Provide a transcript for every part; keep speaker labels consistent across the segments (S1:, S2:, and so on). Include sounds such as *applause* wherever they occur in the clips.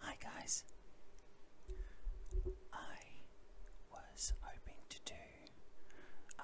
S1: Hi guys. I was hoping to do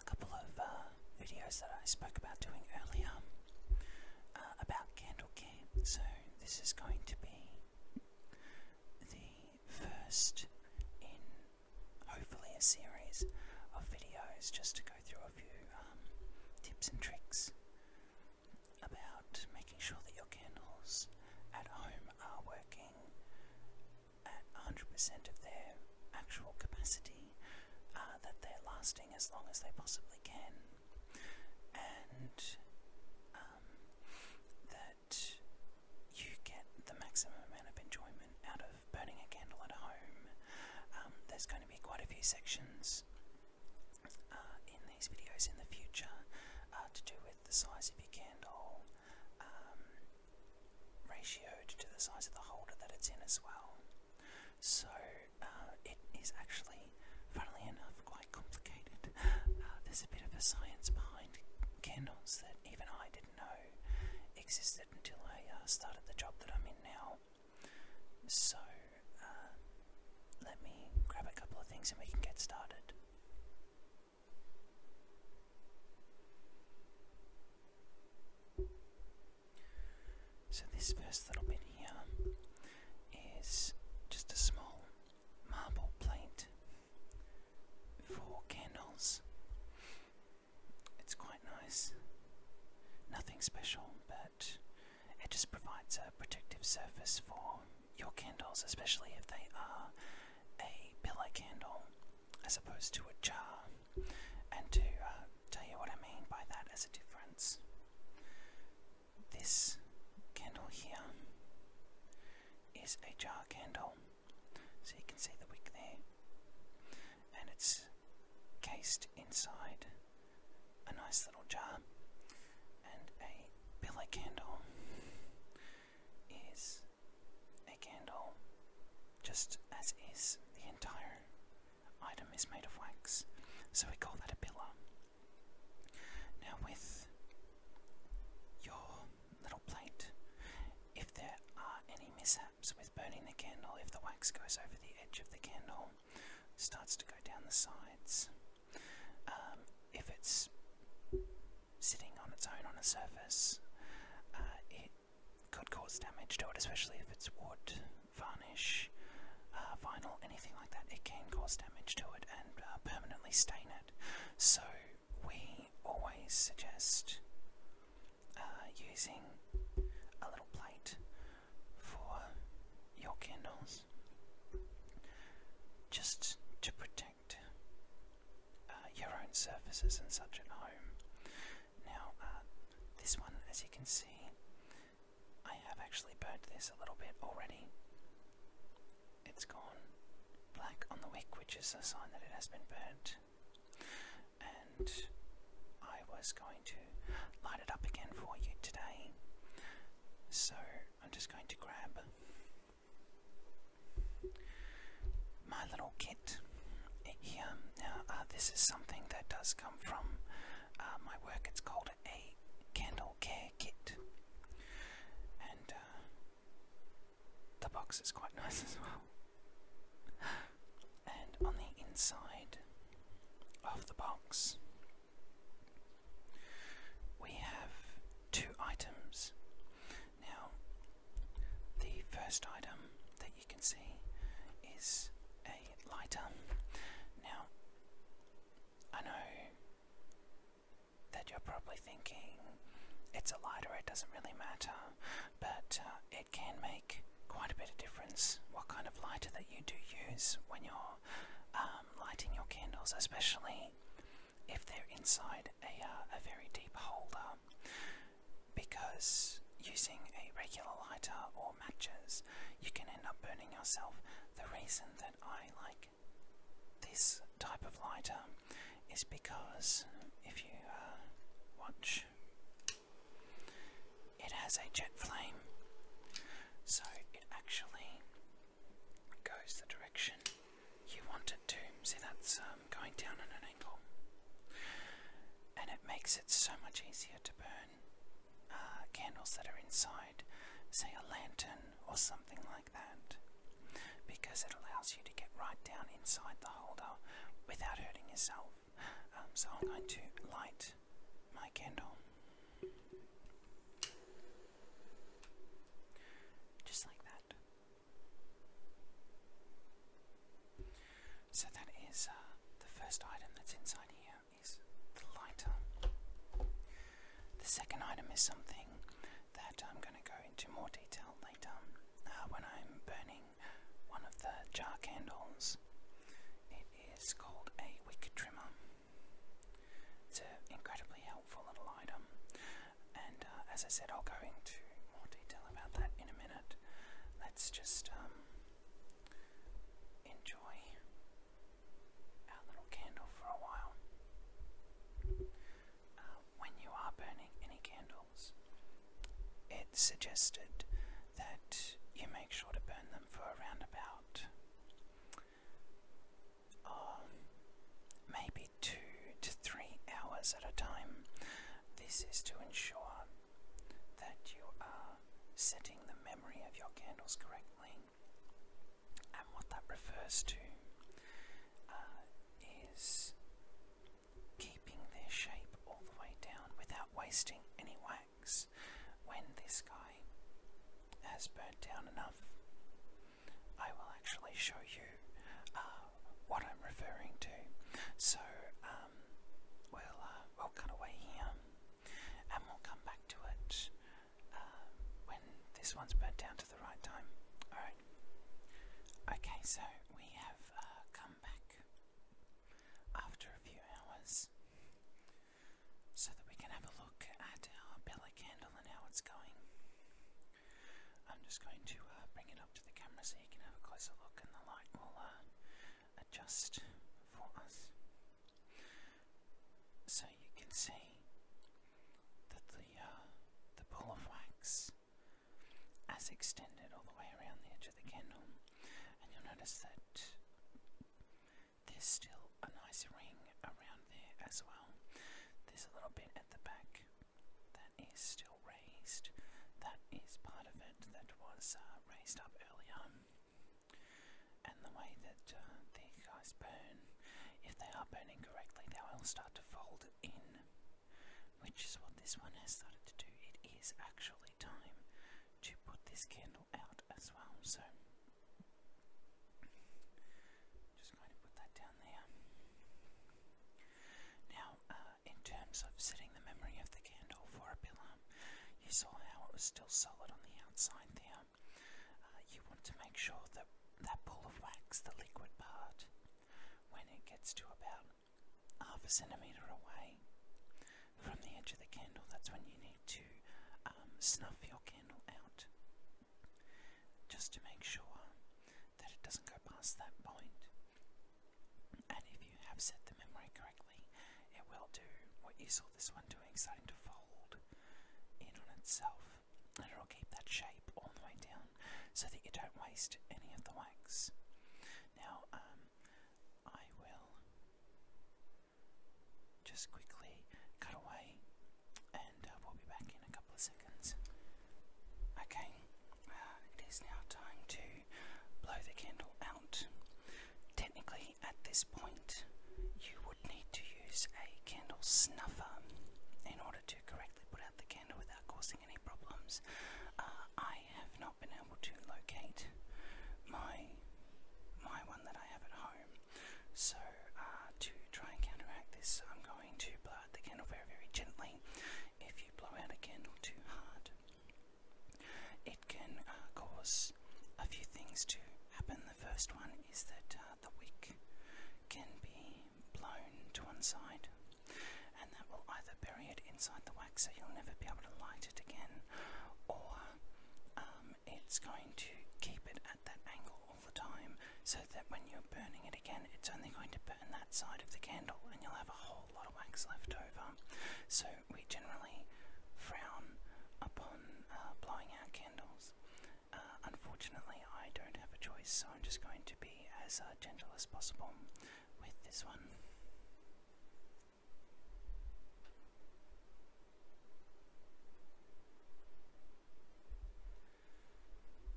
S1: a couple of uh, videos that I spoke about doing earlier uh, about candle camp. So this is going to be the first in hopefully a series of videos just to go through a few um, tips and tricks about making sure that your candles at home are working at 100% of their actual capacity, uh, that they're lasting as long as they possibly can, and um, that you get the maximum amount of enjoyment out of burning a candle at home. Um, there's going to be quite a few sections uh, in these videos in the future uh, to do with the size of your candle, um, ratioed to the size of the holder that it's in as well. So uh, it is actually, funnily enough, quite complicated. there's a bit of a science behind candles that even I didn't know existed until I started the job that I'm in now. So, uh, let me grab a couple of things and we can get started. So, this first little bit here is just a small marble plate for candles. It's quite nice. Nothing special, but it just provides a protective surface for your candles, especially if they are a pillar candle as opposed to a jar. And to uh, tell you what I mean by that as a difference, this candle here is a jar candle, so you can see the wick there, and it's cased inside a nice little jar, and a billy candle is a candle just as is. The entire item is made of wax, so we call that a pillar. Now, with your little plate, if there are any mishaps with burning the candle, if the wax goes over the edge of the candle, starts to go down the sides. Um, if it's sitting on its own on a surface, uh, it could cause damage to it, especially if it's wood, varnish, uh, vinyl, anything like that. It can cause damage to it and uh, permanently stain it. So we always suggest using a little plate for your candles just to protect uh, your own surfaces and such at home. Now, uh, this one, as you can see, I have actually burnt this a little bit already. It's gone black on the wick, which is a sign that it has been burnt. And I was going to light it up again for you today, so I'm just going to grab my little kit here. Now, uh, this is something that does come from uh, my work. It's called a candle care kit, and uh, the box is quite *laughs* nice as well. And on the inside of the box, we have two items. Now, the first item that you can see is a lighter. Now, I know that you're probably thinking it's a lighter, it doesn't really matter, but uh, it can make quite a bit of difference what kind of lighter that you do use when you're um, lighting your candles, especially if they're inside a, uh, a very deep holder, because using a regular lighter or matches, you can end up burning yourself. The reason that I like this type of lighter is because if you uh, watch it has a jet flame, so it actually goes the direction you want it to. See, that's um, going down at an angle, and it makes it so much easier to burn uh, candles that are inside, say, a lantern or something like that, because it allows you to get right down inside the holder without hurting yourself. Um, so, I'm going to light my candle. Just like that. So that is uh, the first item that's inside here is the lighter. The second item is something that I'm going to go into more detail later uh, when I'm burning one of the jar candles. It is called a wick trimmer. It's an incredibly helpful little item, and uh, as I said, I'll go into more detail about that in a minute. Let's just um, enjoy our little candle for a while. Uh, when you are burning any candles, it's suggested that you make sure to burn them for around about um, maybe two to three hours at a time. This is to ensure that you are setting the memory of your candles correctly. And what that refers to uh, is keeping their shape all the way down without wasting any when this guy has burnt down enough. I will actually show you uh, what I'm referring to. So um, we'll uh, we'll cut away here, and we'll come back to it uh, when this one's burnt down to the right time. All right. Okay, so we have come back after a few hours so that we can have a look at our Bella candle and how it's going. I'm just going to uh, bring it up to the camera so you can have a closer look and the light will uh, adjust for us. So you can see that the, uh, the ball of wax has extended all the way around the edge of the candle and you'll notice that there's still a nice ring around there as well. There's a little bit at the back that is still raised. That is part of it that was uh, raised up earlier. And the way that uh, the these guys burn, if they are burning correctly, they will start to fold in, which is what this one has started to do. It is actually time to put this candle out as well. So just going to put that down there. Now, uh, in terms of setting the memory of the candle for a pillar, you saw how it was still solid on the outside there. Uh, you want to make sure that that pool of wax, the liquid part, when it gets to about half a centimetre away, from the edge of the candle. That's when you need to um, snuff your candle out just to make sure that it doesn't go past that point. And if you have set the memory correctly, it will do what you saw this one doing, starting to fold in on itself. And it'll keep that shape all the way down so that you don't waste any of the wax. Now, um, I will just quickly cut away and uh, we'll be back in a couple of seconds. Okay, uh, it is now time to blow the candle out. Technically, at this point, you would need to use a candle snuffer in order to correctly put out the candle without causing any problems. Uh, I have not been able to locate my my one that I have at home. So uh, to try and counteract this, I'm going to blow out the candle very very gently. If you blow out a candle too hard, it can uh, cause a few things to happen. The first one is that uh, the wick can be blown to one side, and that will either bury it inside the wax so you'll never be able to light it again, or um, it's going to keep it at that angle all the time so that when you're burning it again, it's only going to burn that side of the candle and you'll have a whole lot of wax left over. So we generally frown upon uh, blowing out candles. Uh, unfortunately, I don't have a choice, so I'm just going to be as uh, gentle as possible with this one.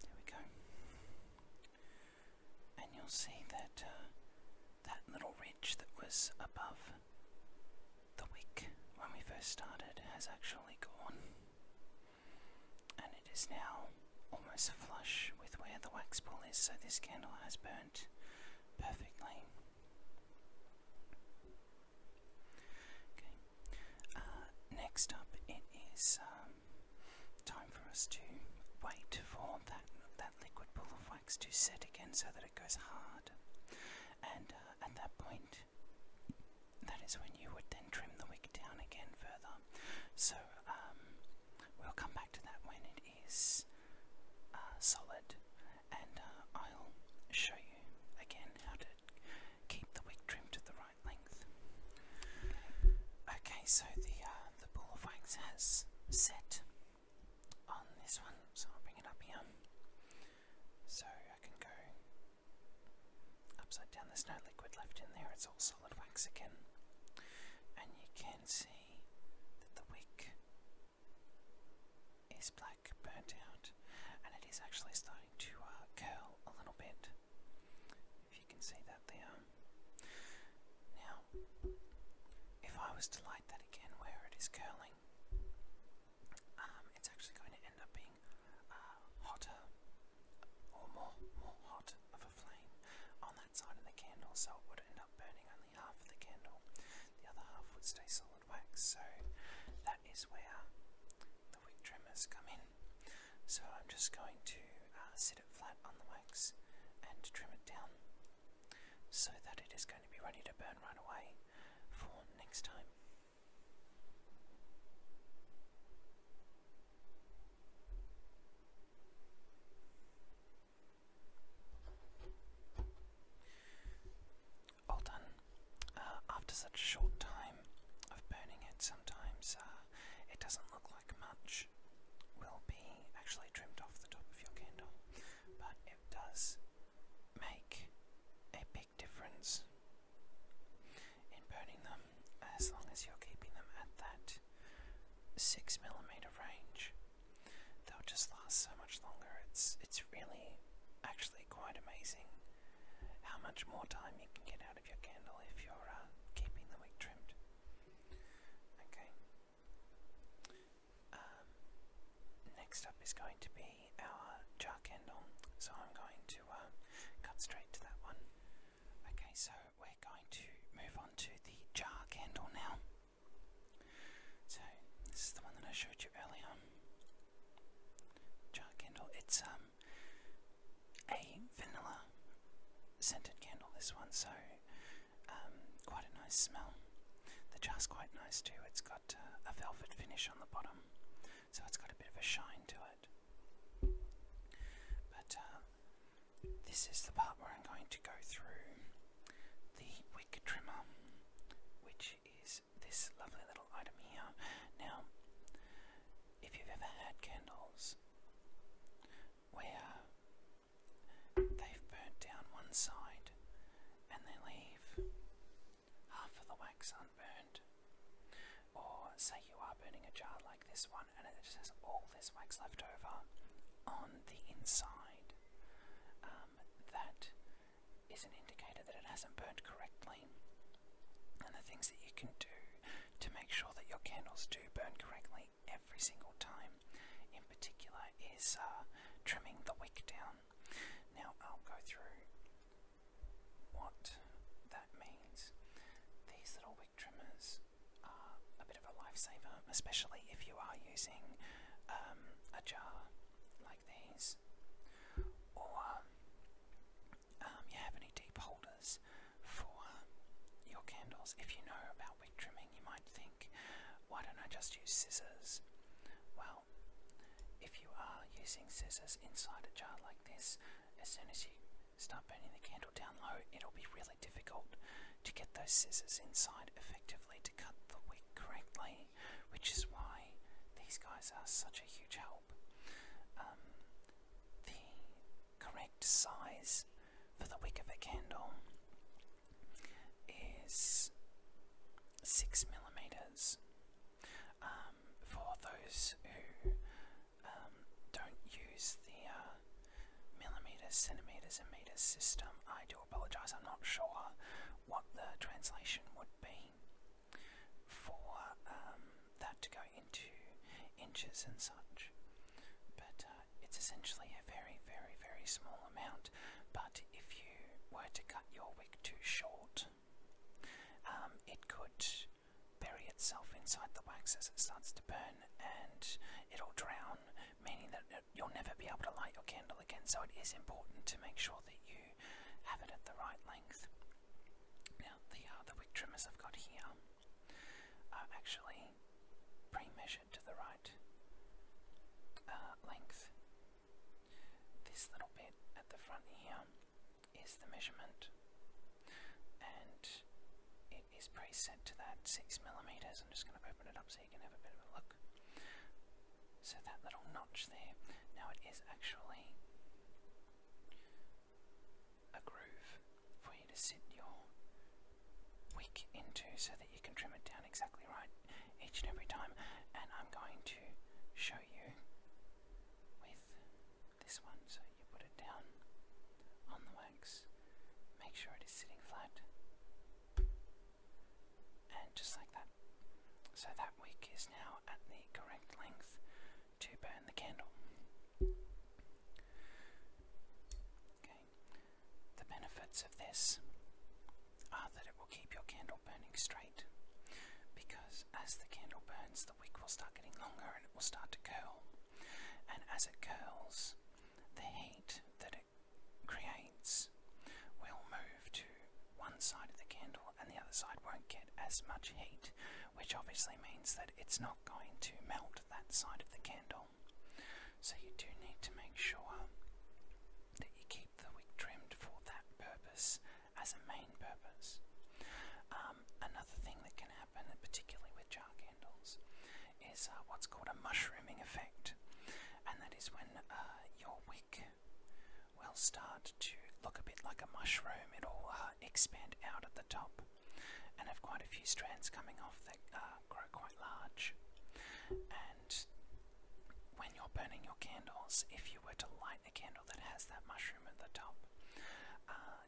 S1: There we go. And you'll see that uh, that little ridge that was above the wick when we first started has actually gone. And it is now almost flush with where the wax ball is, so this candle has burnt perfectly. Okay. Uh, next up, it is um, time for us to wait for that that liquid pool of wax to set again, so that it goes hard. And uh, at that point, that is when you would then trim the wick down again further. So um, we'll come back to that when it is uh, solid, and uh, I'll show you again how to keep the wig trimmed to the right length. Okay, so the uh, the ball of wax has set on this one, so I'll bring it up here. So I can go upside down. There's no liquid left in there; it's all solid wax again. And you can see that the wig is black burnt out and it is actually starting to uh, curl a little bit if you can see that there now if I was to light that again where it is curling um, it's actually going to end up being uh, hotter or more more hot of a flame on that side of the candle so it would end up burning only half of the candle the other half would stay solid so that is where the wick trimmers come in. So I'm just going to uh, sit it flat on the wax and trim it down so that it is going to be ready to burn right away for next time. All done. Uh, after such a short time of burning it, sometimes uh, it doesn't look like much will be actually trimmed off the top of your candle, but it does make a big difference in burning them as long as you're keeping them at that 6 millimeter range. They'll just last so much longer. It's it's really actually quite amazing how much more time you can get out of your candle if you're uh, keeping the wick trimmed. Okay. Um, next up is going to be our jar candle, so I'm going to uh, cut straight to that one. Okay, so we're going to move on to the jar candle now. So this is the one that I showed you earlier. Jar candle. It's um a vanilla scented candle. This one, so um, quite a nice smell. The jar's quite nice too. It's got uh, a velvet finish on the bottom, so it's got a bit of a shine to it. But uh, this is the part where I'm going to go through the wick trimmer which is this lovely little item here. Now, if you've ever had candles where they've burnt down one side and they leave half of the wax unburned, or say you are burning a jar like this one and it just has all this wax left over on the inside, um, that is an indicator that it hasn't burned correctly. And the things that you can do to make sure that your candles do burn correctly every single time, in particular, is uh, trimming the wick down. Now, I'll go through what that means. These little wick trimmers are a bit of a lifesaver, especially if you are using um, a jar like these, or um, um you have any deep holders for um, your candles. If you know about wick trimming, you might think, why don't I just use scissors? Well, if you are using scissors inside a jar like this, as soon as you start burning the candle down low, it'll be really difficult to get those scissors inside effectively to cut the wick correctly which is why these guys are such a huge help. Um, the correct size for the wick of a candle is six millimeters. Um, for those who um, don't use the uh, millimeters, centimeters, and meters system, I do apologize. I'm not sure what the translation would be for um, that to go into inches and such. But uh, it's essentially a very, very, very small amount. But if you were to cut your wick too short, um, it could bury itself inside the wax as it starts to burn and it'll drown, meaning that you'll never be able to light your candle again, so it is important to make sure that you have it at the right length. Now, the, uh, wick trimmers I've got here are actually pre-measured to the right uh, length. This little bit at the front here is the measurement, and it is preset to that six millimeters. I'm just going to open it up so you can have a bit of a look. So that little notch there, now it is actually a groove for you to sit your wick into so that you can trim it down exactly right each and every time. And I'm going to show you with this one. So you put it down on the wax, make sure it is sitting flat. And just like that. So that wick is now at the correct length to burn the candle. Okay. The benefits of this are that it will keep your candle burning straight because as the candle burns, the wick will start getting longer and it will start to curl. And as it curls, the heat that creates will move to one side of the candle and the other side won't get as much heat, which obviously means that it's not going to melt that side of the candle. So you do need to make sure that you keep the wick trimmed for that purpose as a main purpose. Um, another thing that can happen, particularly with jar candles, is uh, what's called a mushrooming effect and that is when uh, your wick will start to look a bit like a mushroom. It'll uh, expand out at the top and have quite a few strands coming off that uh, grow quite large. And when you're burning your candles, if you were to light a candle that has that mushroom at the top,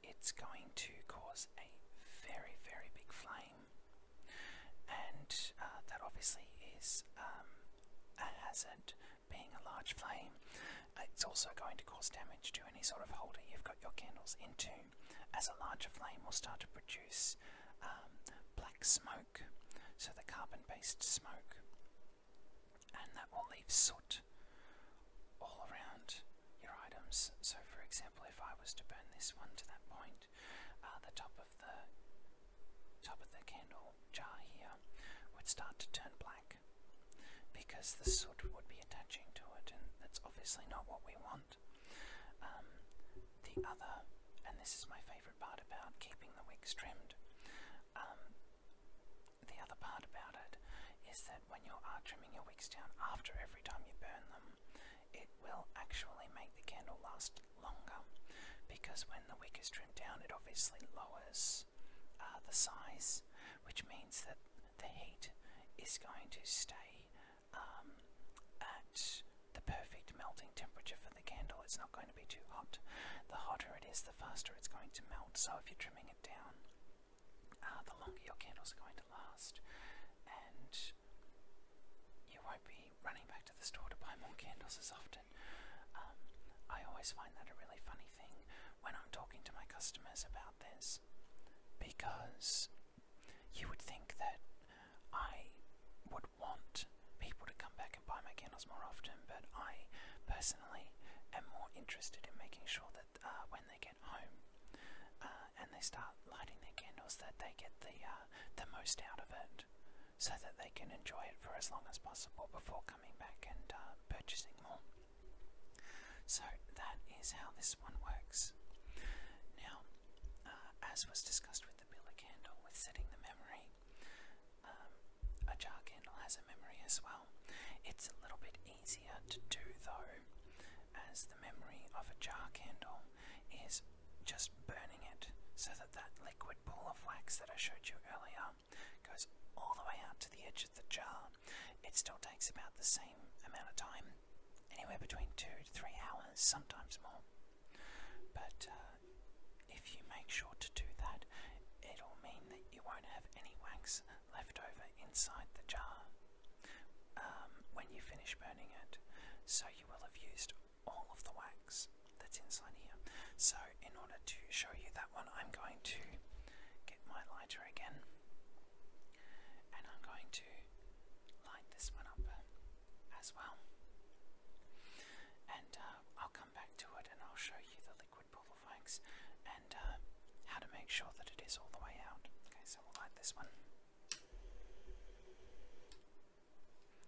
S1: it's going to cause a very, very big flame and uh, that obviously is um, a hazard being a large flame. It's also going to cause damage to any sort of holder you've got your candles into, as a larger flame will start to produce um, black smoke, so the carbon based smoke, and that will leave soot all around your items. So, for example, if I was to burn this one to that point, uh, the top of the top of the candle jar here would start to turn black because the soot would be attaching to it and that's obviously not what we want. Um, the other, and this is my favourite part about keeping the wicks trimmed, um, the other part about it is that when you are trimming your wicks down after every time you burn them, it will actually make the candle last longer because when the wick is trimmed down it obviously lowers uh, the size which means that the heat is going to stay um, at the perfect melting temperature for the candle. It's not going to be too hot. The hotter it is the faster it's going to melt so if you're trimming it down uh, the longer your candles are going to last and you won't be me running back to the store to buy more candles as often. Um, I always find that a really funny thing when I'm talking to my customers about this because you would think that I would want people to come back and buy my candles more often, but I personally am more interested in making sure that uh, when they get home uh, and they start lighting their candles, that they get the uh, the most out of it so that they can enjoy it for as long as possible before coming back and uh, purchasing more. So that is how this one works. Now, uh, as was discussed with the Billa candle, with setting the memory, um, a jar candle has a memory as well. It's a little bit easier to do though, as the memory of a jar candle is just burning it so that that liquid pool of wax that I showed you earlier goes all the way out to the edge of the jar. It still takes about the same amount of time, anywhere between two to three hours, sometimes more. But uh, if you make sure to do that, it'll mean that you won't have any wax left over inside the jar um, when you finish burning it. So you will have used all of the wax that's inside here. So, in order to show you that one, I'm going to get my lighter again and I'm going to light this one up uh, as well. And uh, I'll come back to it and I'll show you the liquid pool of wax and uh, how to make sure that it is all the way out. Okay, so we'll light this one.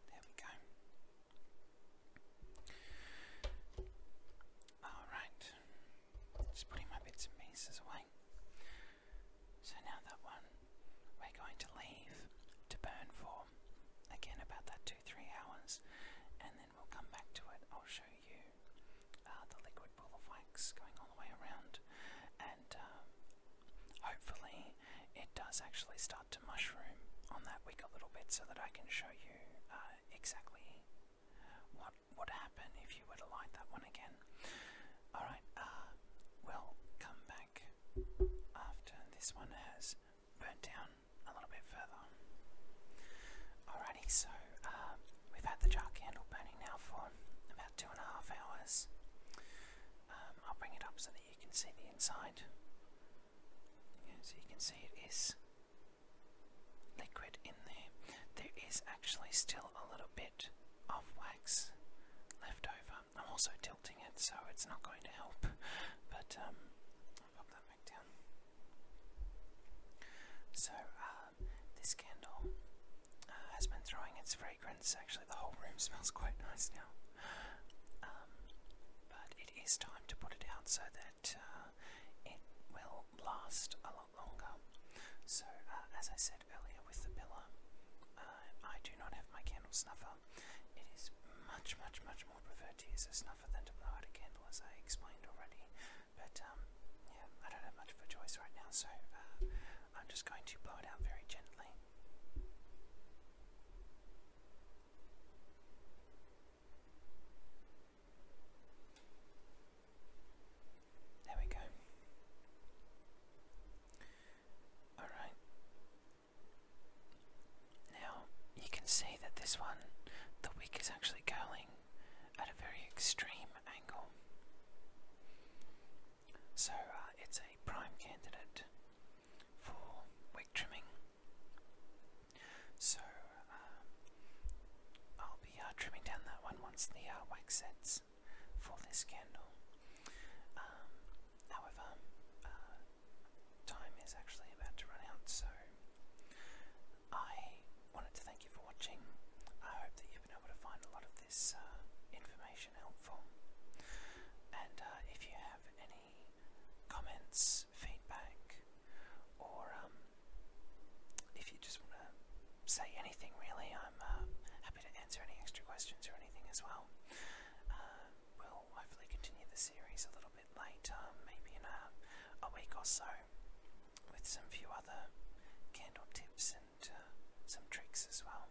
S1: There we go. Alright, just putting my bits and pieces away. So now that one we're going to leave to burn for again about that two, three hours and then we'll come back to it. I'll show you uh, the liquid pool going all the way around and um, hopefully it does actually start to mushroom on that wick a little bit so that I can show you uh, exactly what would happen if you were to light that one again. Alright, uh, come back after this one has burnt down a little bit further. Alrighty, so uh, we've had the jar candle burning now for about two and a half hours. Um, I'll bring it up so that you can see the inside. so you can see it is liquid in there. There is actually still a little bit of wax left over. I'm also tilting it so it's not going to help, but um, pop that back down. So, uh, this candle uh, has been throwing its fragrance fragrance. Actually, the whole room smells quite nice now. Um, but it is time to put it out so that uh, it will last a lot longer. So, uh, as I said earlier with the pillar, uh, I do not have my candle snuffer. It is much, much, much more preferred to use a snuffer than to blow out a candle, as I explained already. But um, yeah, I don't have much of a choice right now, so I'm just going to blow it out very gently. There we go. All right. Now you can see that this one, the wick is actually curling at a very extreme angle. So uh, it's a prime candidate for wick trimming. So uh, I'll be uh, trimming down that one once the uh, wax sets for this candle. Um, however, time is actually about to run out, so I wanted to thank you for watching. I hope that you've been able to find a lot of this information information helpful. And uh, if you have any comments, feedback, or um, if you just want to say anything really, I'm uh, happy to answer any extra questions or anything as well. Uh, we'll hopefully continue the series a little bit later, maybe in a, week or so, with some few other candle tips and some tricks as well.